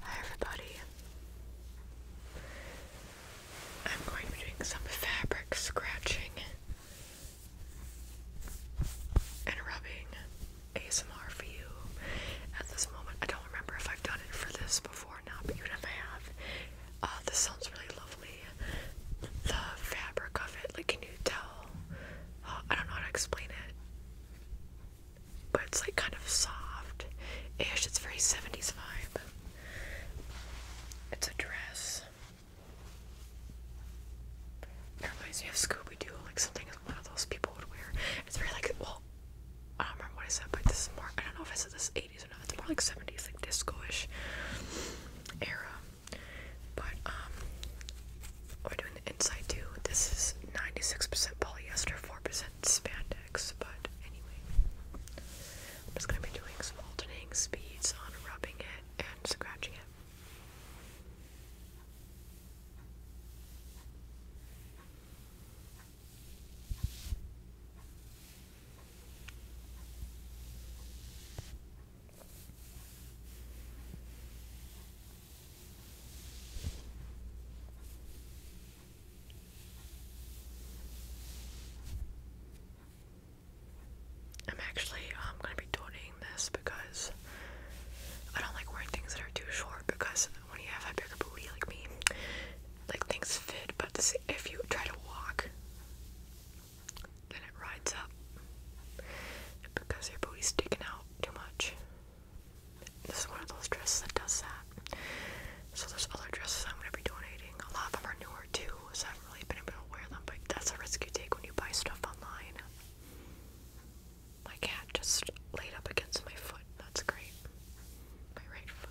Hi everybody. I'm going to be doing some fabric scratching and rubbing ASMR for you at this moment. I don't remember if I've done it for this before or but even if I have, uh, this sounds really lovely. The fabric of it, like, can you tell? Uh, I don't know how to explain it but it's like kind of soft ish. It's very 70s vibe. It's a dress. It reminds me of Scooby Doo, like something one of those people would wear. It's very like, well, I don't remember what I said, but this is more, I don't know if I said this 80s or not. It's more like 70s, like disco ish era. But, um, we're doing the inside too. This is 96% polyester, 4% spandex, but anyway. I'm just going to be doing some alternating speeds on rubbing it and scratching it. I'm actually um, going to be donating this because I don't like wearing things that are too short because when you have a bigger booty like me, like things fit, but if you try to walk, then it rides up because your booty's sticking out too much. This is one of those dresses that does that. So there's other dresses I'm gonna be donating. A lot of them are newer too, so I haven't really been able to wear them. But that's a risk you take when you buy stuff online. My cat just laid up against my foot. That's great. My right foot.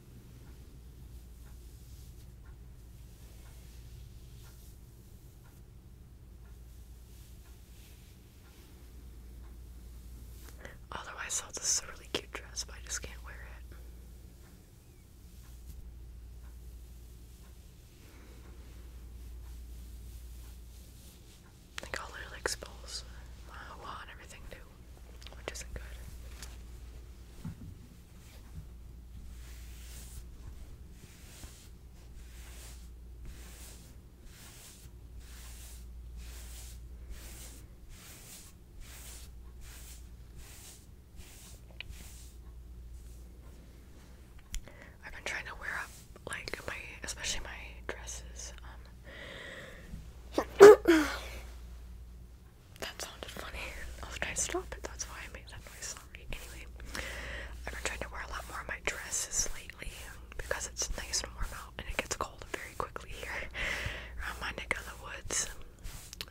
Otherwise, I this is a really cute dress, but I just can't wear it. I think I'll literally expose my uh, wow, everything too which isn't good. I've been trying to wear up like my especially my dresses um, that sounded funny. I was trying to stop it, that's why I made that noise. Sorry. Anyway, I've been trying to wear a lot more of my dresses lately because it's nice and warm out and it gets cold very quickly here around my neck of the woods.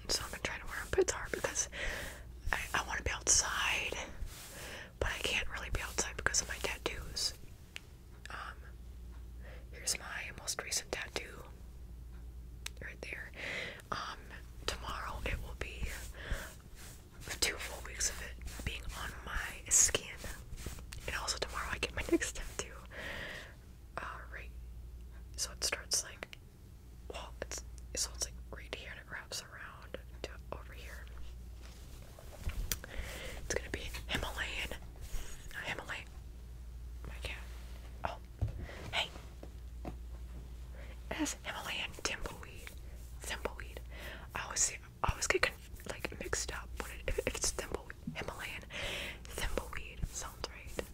And so I've been trying to wear them, but it's hard because I, I want to be outside, but I can't really be outside because of my tattoos. Um, here's my most recent tattoo right there. Um, tomorrow it will be two full weeks of it being on my skin. And also tomorrow I get my next step too. Uh, right. So it starts like, well, it's so it's like right here and it wraps around to over here. It's gonna be Himalayan, Himalayan my cat. Oh, hey, it has Himalayan thimbleweed. Thimbleweed. I always see, I always get like mixed up. What if, if it's thimbleweed? Himalayan thimbleweed sounds right.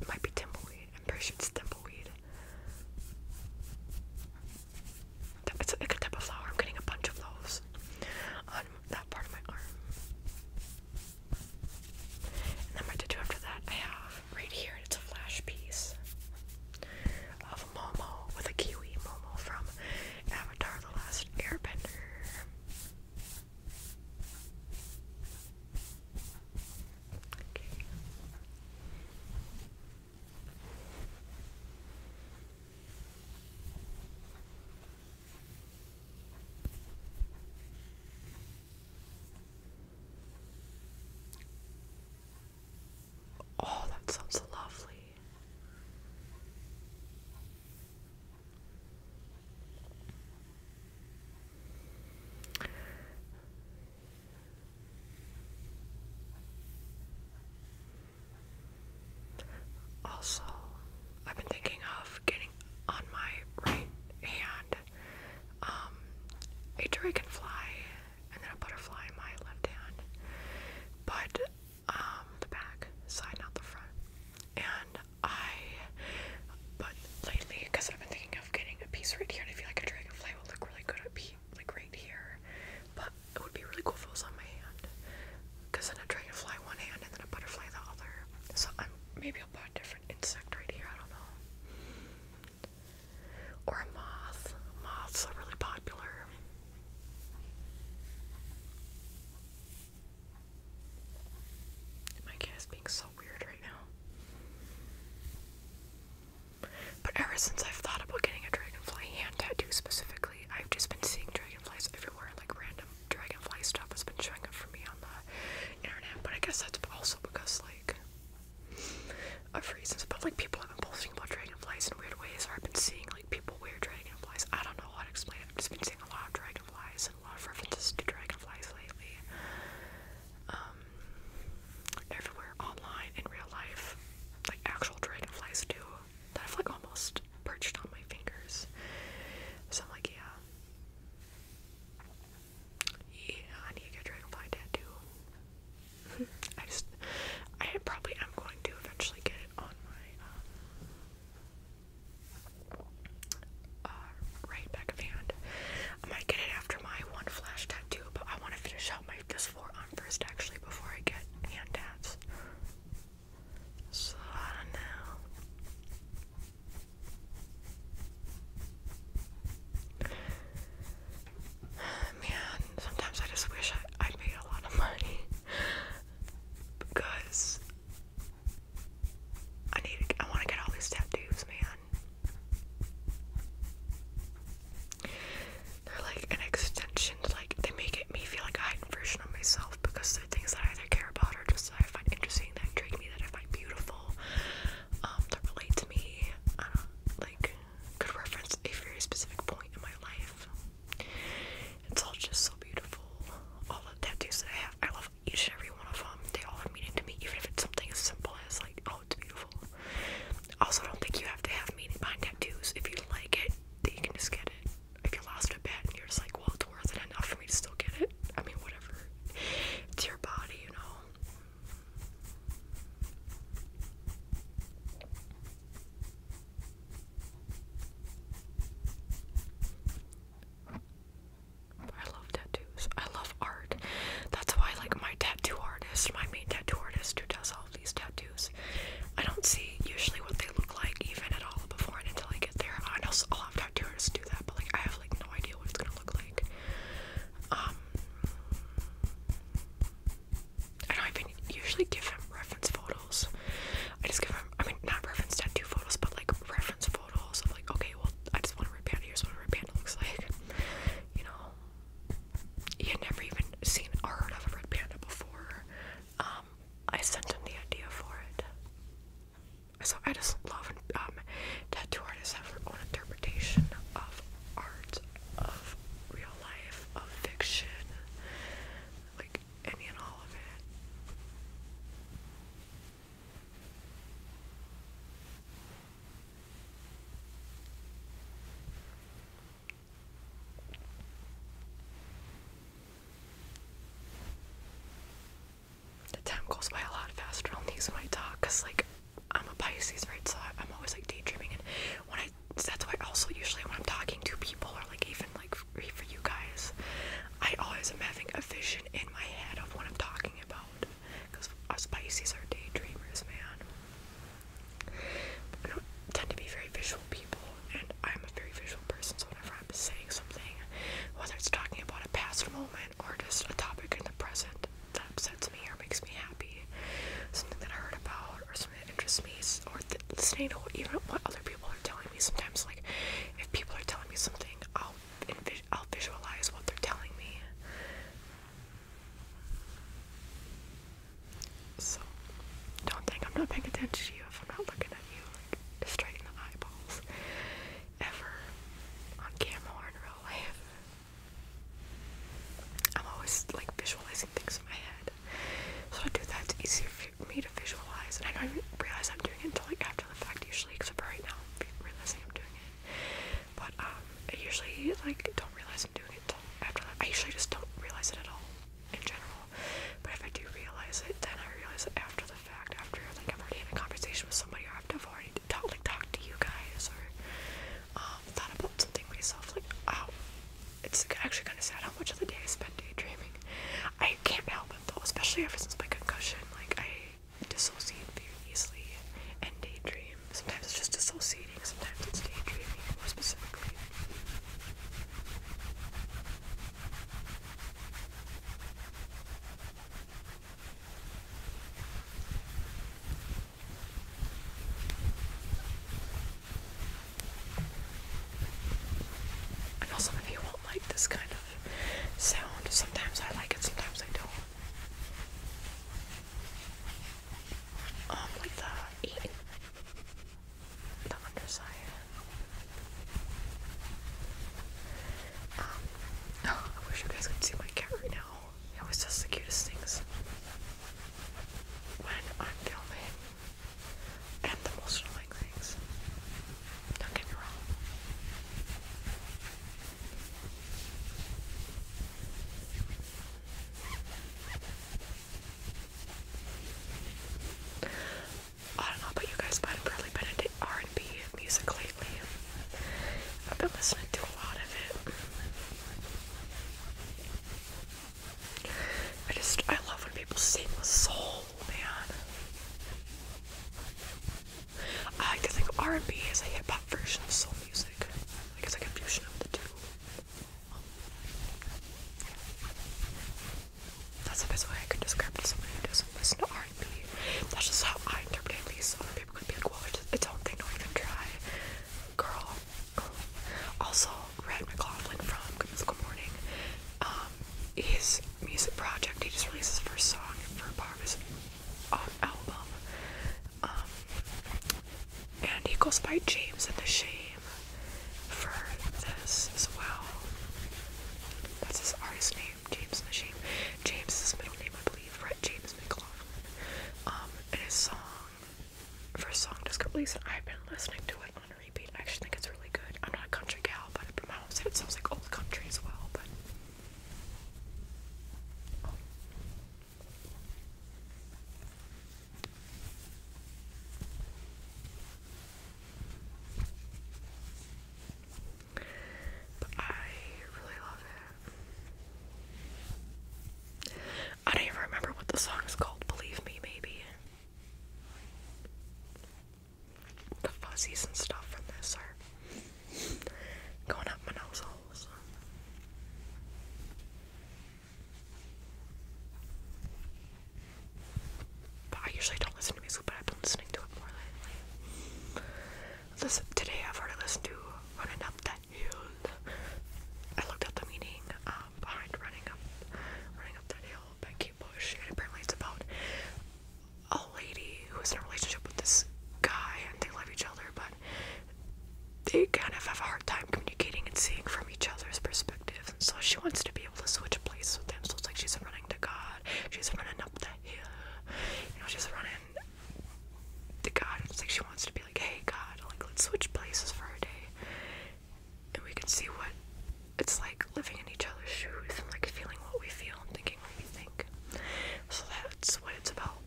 It might be thimbleweed. I'm pretty sure it's thimbleweed. It's like a type of flower. I'm getting a bunch of those on that part of my arm. And then my tattoo after that I have right here, it's a flash piece of Momo with a kiwi Momo from Avatar The Last Airbender. Oh, that sounds lovely. Also, I've been thinking of getting on my right hand um, a dragonfly, and then a butterfly in my left hand. But um, the back side, not the front. And I, but lately, because I've been thinking of getting a piece right here, and I feel like a dragonfly will look really good at be like right here. But it would be really cool if it was on my hand, because then a dragonfly one hand and then a butterfly the other. So I'm maybe I'll buy a different insect right here, I don't know. Or a moth. Moths are really popular. My cat is being so weird right now. But ever since I've thought about getting a dragonfly hand tattoo specifically, I've just been seeing dragonflies everywhere, like random dragonfly stuff has been showing up for me on the internet, but I guess that's also because like of reasons. But like people have been posting about dragonflies in weird ways, or I've been seeing like people wear dragonflies. I don't know how to explain it. I've just been seeing a lot of dragonflies and a lot of references to dragonflies lately. Um, everywhere online in real life, like actual dragonflies do that have like almost perched on my fingers. So I'm like, yeah. Yeah, I need to get a dragonfly tattoo. I just, I probably am going to eventually get it on my, uh, uh, right back of hand. I might get it after my one flash tattoo, but I want to finish out my this forearm first actually before I get hand tats. So I Man, sometimes I just wish I, I made a lot of money because I need. I want to get all these tattoos, man. They're like an extension. Like they make it me feel like a heightened version of myself because the things that I either care about or just that I find interesting, that intrigue me, that I find beautiful. Um, that relate to me. I don't like could reference a very specific point in my life. It's all just so beautiful. All the tattoos that I have, I love each and every one of them. They all have meaning to me, even if it's something as simple as like, oh, it's beautiful. Also, don't think you have to have meaning behind tattoos. If you like it, then you can just get it. If you lost a bit, and you're just like, well, it's worth it enough for me to still get it. I mean, whatever. It's your body, you know. I love tattoos. I love art. That's why, like, my tattoo artist, my main tattoo artist who does all these tattoos, I don't see usually what they look like even at all before until I get there. I know a lot of tattoo do that, but, like, I have like no idea what it's gonna look like. Um, I don't even usually give him reference photos. I just give him, I mean, not reference tattoo photos, but like reference photos of like, okay, well, I just want a red panda. Here's what a red panda looks like. You know, he had never even seen or heard of a red panda before. Um, I sent him the idea for it. So I just love um, tattoo artists have their own interpretation of art, of real life, of fiction, like any and all of it the time goes by a lot faster on these when I talk because like I'm a Pisces right so I'm always like daydreaming and when I that's why also usually when I'm talking to people or like even like free for you guys I always am having a vision in my head of what I'm talking about because us Pisces are daydreamers man I don't tend to be very visual people and I'm a very visual person so whenever I'm saying something whether it's talking about a past moment moment or just a topic in the present that upsets me or makes me happy, something that I heard about or something that interests me, or th listening to what, even what other people are telling me. Sometimes, like if people are telling me something, I'll I'll visualize what they're telling me. So don't think I'm not paying attention to you if I'm not looking at you, like just straight in the eyeballs ever on camera or in real life. I'm always like visualizing things in my head. So I do that, it's easier for me to visualize. And I don't even realize I'm doing it until like after the fact usually, except for right now I'm realizing I'm doing it. But um, I usually like don't realize I'm doing it until after I usually just don't realize it at all in general. But if I do realize it, then I realize it after the fact after like I've already had a conversation with somebody or I've already talked like talked to you guys or um, thought about something myself like it's actually kind of sad how much of the day I spend daydreaming. I can't help it though, especially ever since my concussion. Like I dissociate very easily and daydream. Sometimes it's just dissociating. Sometimes it's daydreaming more specifically. I know some of you won't like this kind of sound. Sometimes I like it, sometimes I don't. Um, like the the underside. Um, Oh, I wish you guys could see my cat right now. It always does the cutest things when I'm filming and the most annoying things. Don't get me wrong. I don't know about you guys, but have barely been R&B music lately. I've been listening to a lot of it. I just I love when people sing with soul, man. I like think R&B is a hip hop version of soul music. Like it's like a fusion of the two. That's the best way I could describe to someone who doesn't listen to R that's just how I interpret these. at least. Other people could be like, well, it's just I don't think I'm even try. Girl. Also, Red McLaughlin from Good Morning, um, his music project, he just released his first song for part of his um, album. Um, and he goes by James and the Shame for this as well. That's his artist name. James and James is his middle name, I believe, Fred James McLaughlin. Um, and his song, first song just disc release, and I've been listening to it on repeat. I actually think it's really good. I'm not a country gal, but my mom said it sounds like old country as well, but... But I really love it. I don't even remember what the song is called, believe me, maybe. The fuzzies and stuff from this are going up my nose But I usually don't listen to music, but I've been listening to it more lately listen, today I've already listened to Running Up That Hill. I looked up the meaning um, behind Running Up Running Up That Hill by Bush, and apparently it's about a lady who is in a relationship with this guy and they love each other, but they kind of have a hard time communicating and seeing from each other's perspective. And so she wants to be able to switch places with them, So it's like she's running to God, she's running up the hill, you know, she's running the god it's like she wants to be like hey god like let's switch places for a day and we can see what it's like living in each other's shoes and like feeling what we feel and thinking what we think so that's what it's about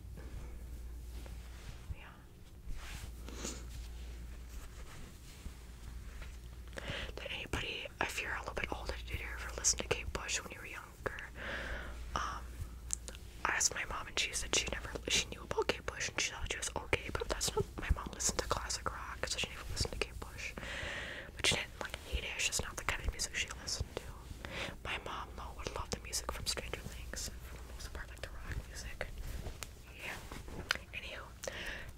yeah did anybody if you're a little bit older did you ever listen to Kate Bush when you were young um, I asked my mom and she said she never she knew about Kate Bush and she thought she was okay, but that's not my mom listened to classic rock, so she never listened to Kate Bush. But she didn't like hate it, it's just not the kind of music she listened to. My mom though would love the music from Stranger Things for the most part, like the rock music. Yeah. Anywho,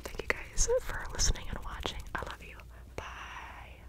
thank you guys for listening and watching. I love you. Bye.